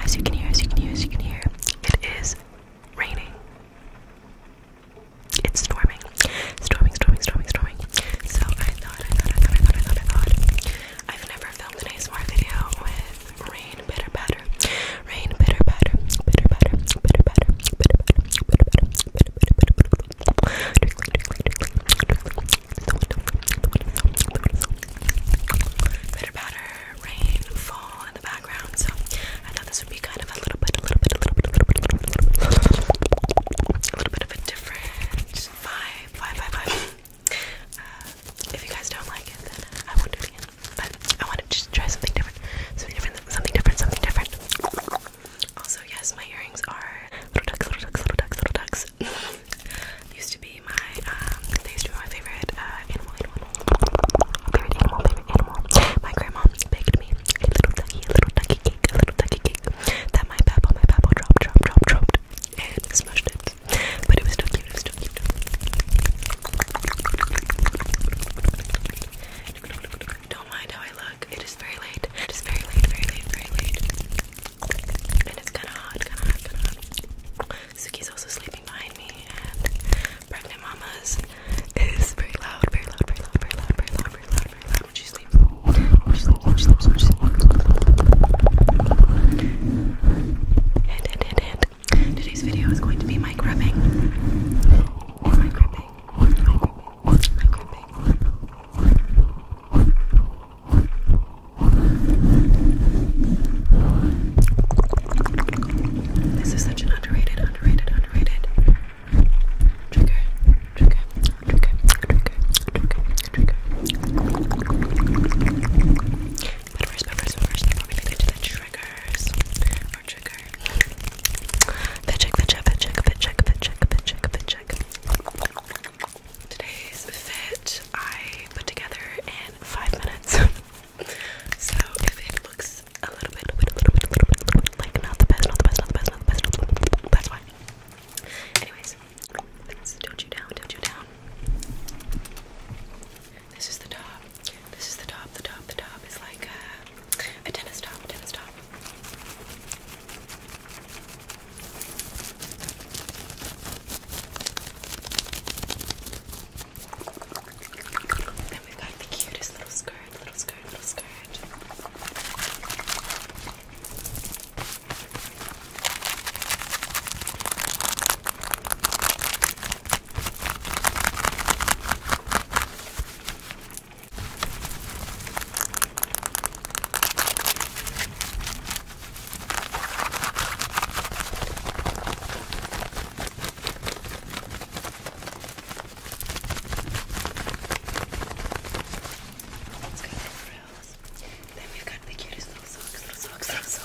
as you can hear, as you can hear, as you can hear, it is raining. It's storming. Storming, storming, storming, storming. So I thought, I thought, I thought, I thought, I thought, I thought. I've never filmed an ASMR video with rain, bitter, batter. Rain, bitter, batter. Bitter, batter. Bitter, batter. Bitter, batter. Bitter, batter. Bitter, batter. Bitter, batter. Bitter batter, rain, fall in the background. So I thought this would be kind of a little bit, a little bit, a little bit, a little bit, a little bit, a little bit, a little bit of a different vibe, vibe, vibe, vibe. Uh, if you guys don't like it, then I won't do it again. But I want to just try something different, something different, something different, something different. Also, yes, my earrings are little ducks, little ducks, little ducks, little ducks. used to be my um, they used my favorite uh, animal, animal, favorite animal, favorite animal. My grandma baked me a little duckie, a little duckie cake, a little ducky cake that my papa, my papa dropped, dropped, dropped, dropped, and smushed it. But it was still cute. It was cute. Don't mind how I look. It is very late. It is very late, very late, very late. And it's kinda hot, kinda hot, kinda hot. Suki's also sleeping behind me and pregnant mamas is very loud, very loud, very loud, very loud, very loud, very loud, very loud when she sleeps. When she sleeps, when she sleeps, when she sleeps. Hint, hint, hint, hint. Today's video is going to be mic rubbing. Mic rubbing. Mic rubbing like a big This is such an underrated, underrated, underrated trigger, trigger, trigger, trigger, trigger, trigger. But first, but first, but first, we get into the triggers, trigger. Fit check, fit check, fit check, fit check, fit check, fit check, fit check. Today's fit I put together in five minutes. so if it looks a little bit, little bit, little bit, little bit, little bit like not the best, not the best, not the best, not the best, not the best, that's why. Anyways, let's tilt you down, tilt you down. This is the top. This is the top. The top. The top is like uh, a tennis top, a tennis top. Then we got the cutest little skirt, little skirt, little skirt. Let's go frills. Then we've got the cutest little socks, little socks, little socks.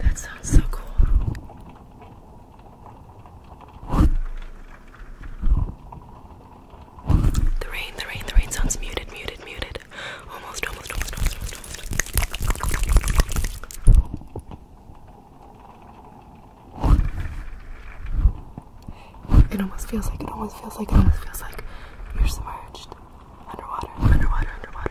That sounds so cool. The rain, the rain, the rain sounds muted, muted, muted. Almost, almost, almost, almost, almost. It almost feels like, it almost feels like, it almost feels like you're submerged. Underwater, underwater, underwater.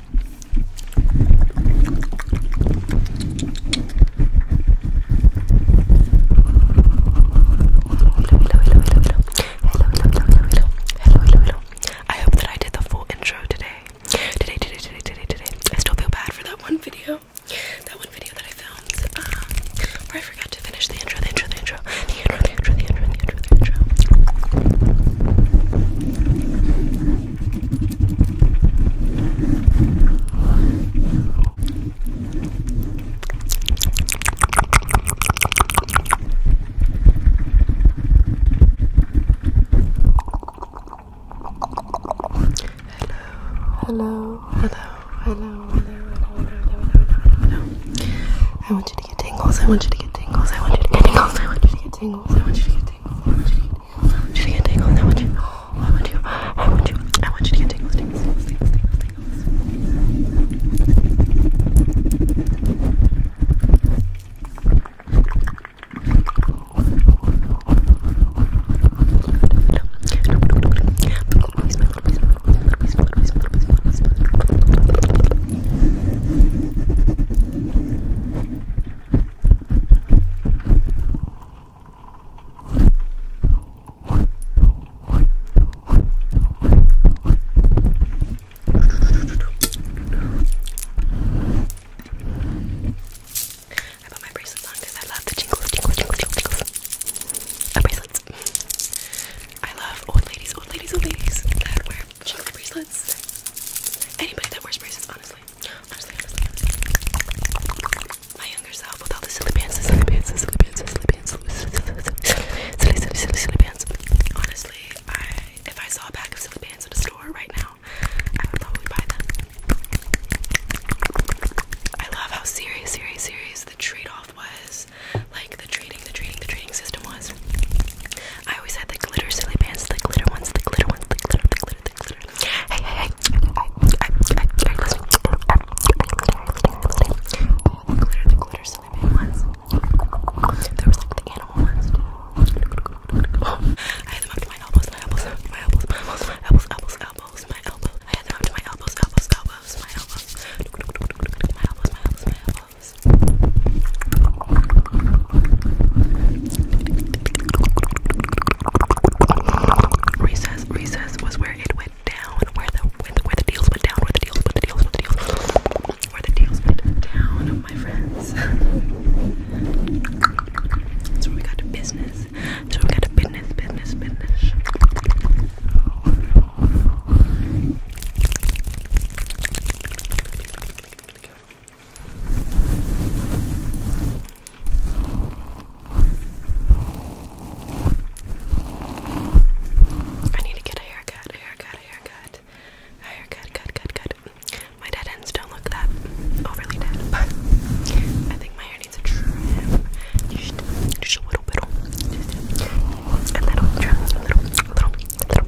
hello. I hope that I did the full intro today. Today, today, today, today, today. I still feel bad for that one video. That one video that I filmed. Um, I forgot to finish the intro, the intro, the intro, the intro, the intro, the intro. The intro. Hello, hello, hello, hello, hello, hello, hello, hello, I want you to get tingles. I want you to get tingles. I want you to get tingles. I want you to get tingles. I want you to get tingles. I want you to get tingles. I want you to get tingles. I want you. I want you. I want you. I want you to get tingles. Tingles. Tingles. Tingles. Tingles. tingles. I put my bracelets on because I love the jingles, jingles, jingles, jingles. Uh, bracelets. I love old ladies, old ladies, old ladies that wear jingles bracelets. Anybody that wears bracelets, honestly. My younger self with all the silly pants, silly pants, silly pants, silly pants, silly, silly, silly, silly, silly pants. Honestly, I if I saw a pack of silly pants at a store right now, I would probably buy them. I love how serious, serious, serious the trade-off was. Like the trading, the trading, the trading system was. I always had the glitter silly bands, the glitter ones, the glitter ones, the glitter, the glitter, the glitter. Hey, hey, hey! I, I, I, I listen. All the glitter, the glitter silly band ones. There was like the animal ones. I had them up to my elbows, my elbows, my elbows, my elbows, my elbows, elbows, elbows, my elbows. I had them up to my elbows, elbows, elbows, my elbows. My elbows, my elbows, my elbows this. Recess, recess was where it went down, where the where the, where the deals went down, where the deals, where the deals, where the deals, where the deals went down, my friends. so we got to business. So we got to business, business, business. I need to get a haircut, a haircut, a haircut, a haircut, cut, cut, cut. My dead ends don't look that overly dead, but I think my hair needs a trim. Just, a little bit, just a little trim, a little, a little, a little,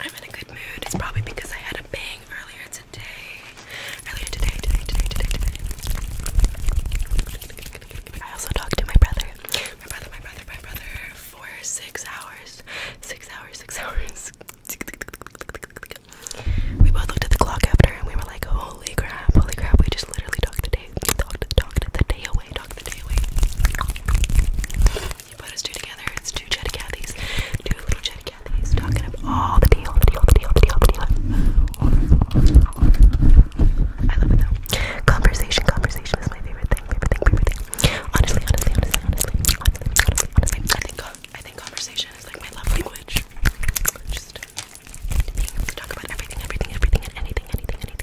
I'm in a good mood. It's probably because I had a bang earlier today. Earlier today, today, today, today, today. I also talked to my brother. My brother, my brother, my brother for six hours. Six hours, six hours. We both looked at the clock after and we were like, holy crap, holy crap, we just literally talked the day, talked, the day away, talked the day away put us two together, it's two Jetty Cathys, two little Jetty Cathys talking up all the deal, the deal, the deal, the deal, the deal. I love it though. Conversation, conversation is my favorite thing, favorite thing, favorite thing. Honestly, honestly, honestly, honestly, honestly, I think I think conversation is like my love language. Just talk about everything, everything, everything, and anything, anything, anything.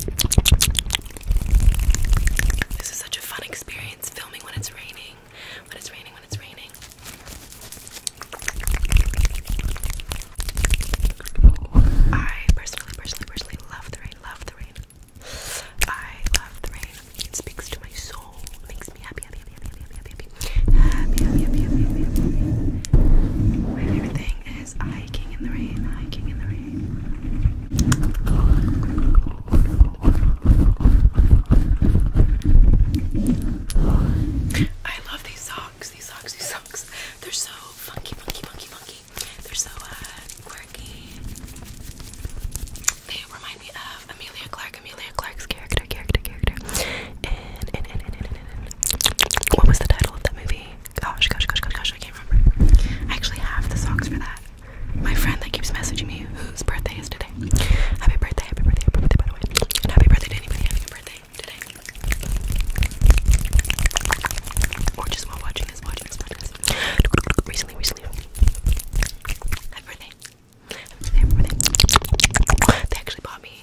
This is such a fun experience filming when it's raining. When it's raining, when it's raining. I personally, personally, personally love the rain. Love the rain. I love the rain. It speaks to my soul. makes me happy, happy, happy, happy, happy, happy, happy, happy, guys. Hiking in the rain, hiking in the rain. I love these socks, these socks, these socks. They're so funky, funky, funky, funky. They're so uh, quirky. They remind me of Amelia Clark, Amelia Clark's character, character, character. What was the title of that movie? Gosh, gosh, gosh, gosh, gosh, I can't remember. I actually have the songs for that. My friend that keeps messaging me whose birthday is today. Happy birthday, happy birthday, happy birthday, by the way. happy birthday to anybody having birthday today. Or just while watching this, watching this, watching Recently, recently. happy birthday. They actually bought me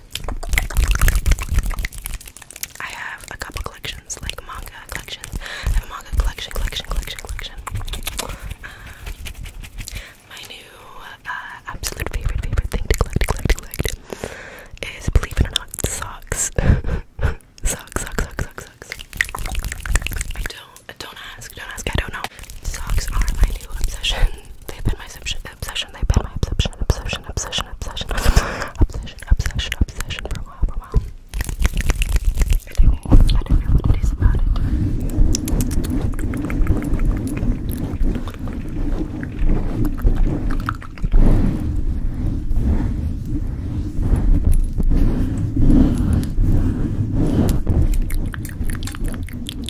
collections. I have a couple collections, like manga collections. I have a manga collection, collection, collection, collection. Uh, my new uh, absolute favorite, favorite thing to collect, collect, collect is, believe it or not, socks. socks, socks, socks, socks, socks. I don't, don't ask, don't ask, I don't know. Socks are my new obsession. They've been my obsession obsession. They've been my obsession, obsession, obsession, obsession, obsession, obsession, obsession for a while, for a while.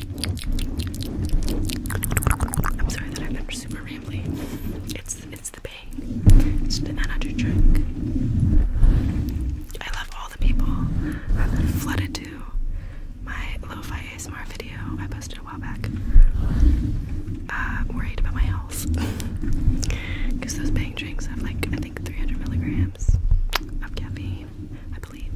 I'm sorry that I've been super rambly. It's it's the pain. It's the energy drink. I love all the people that flooded to my lo-fi ASMR video I posted a while back. Uh, worried about my health. Because those bang drinks have like I think 300 milligrams of caffeine believe.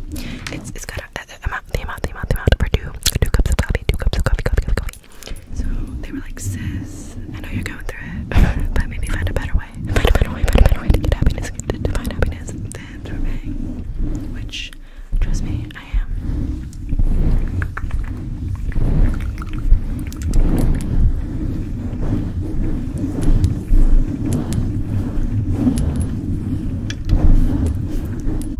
It's it's got a, amount, the amount, the amount, the amount for two, cups of coffee, two cups of coffee, coffee, coffee, So they were like, sis, I know you're going through it, but maybe find a better way. Find a better way, find a better way to get happiness, to, find happiness than through bang. Which, trust me, I am.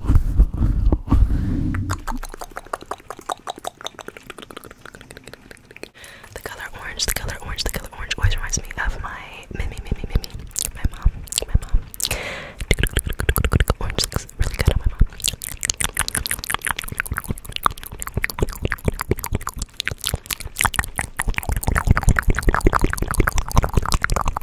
The color orange, the color orange, the color orange always reminds me of my Mimi, Mimi, Mimi, my mom, my mom. Orange looks really good on my mom.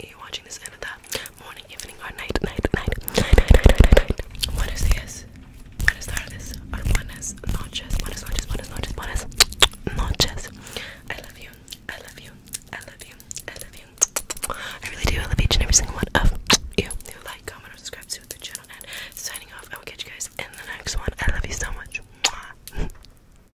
you watching this end of morning, evening, or night, night, night, night, night, night, night, night. Buenos días, buenas tardes, or buenas noches, buenas noches, buenas noches, buenas noches. I love you, I love you, I love you, I love you. I really do. I love each and every single one of you. Who like, comment, or subscribe to the channel. And signing off. I will catch you guys in the next one. I love you so much.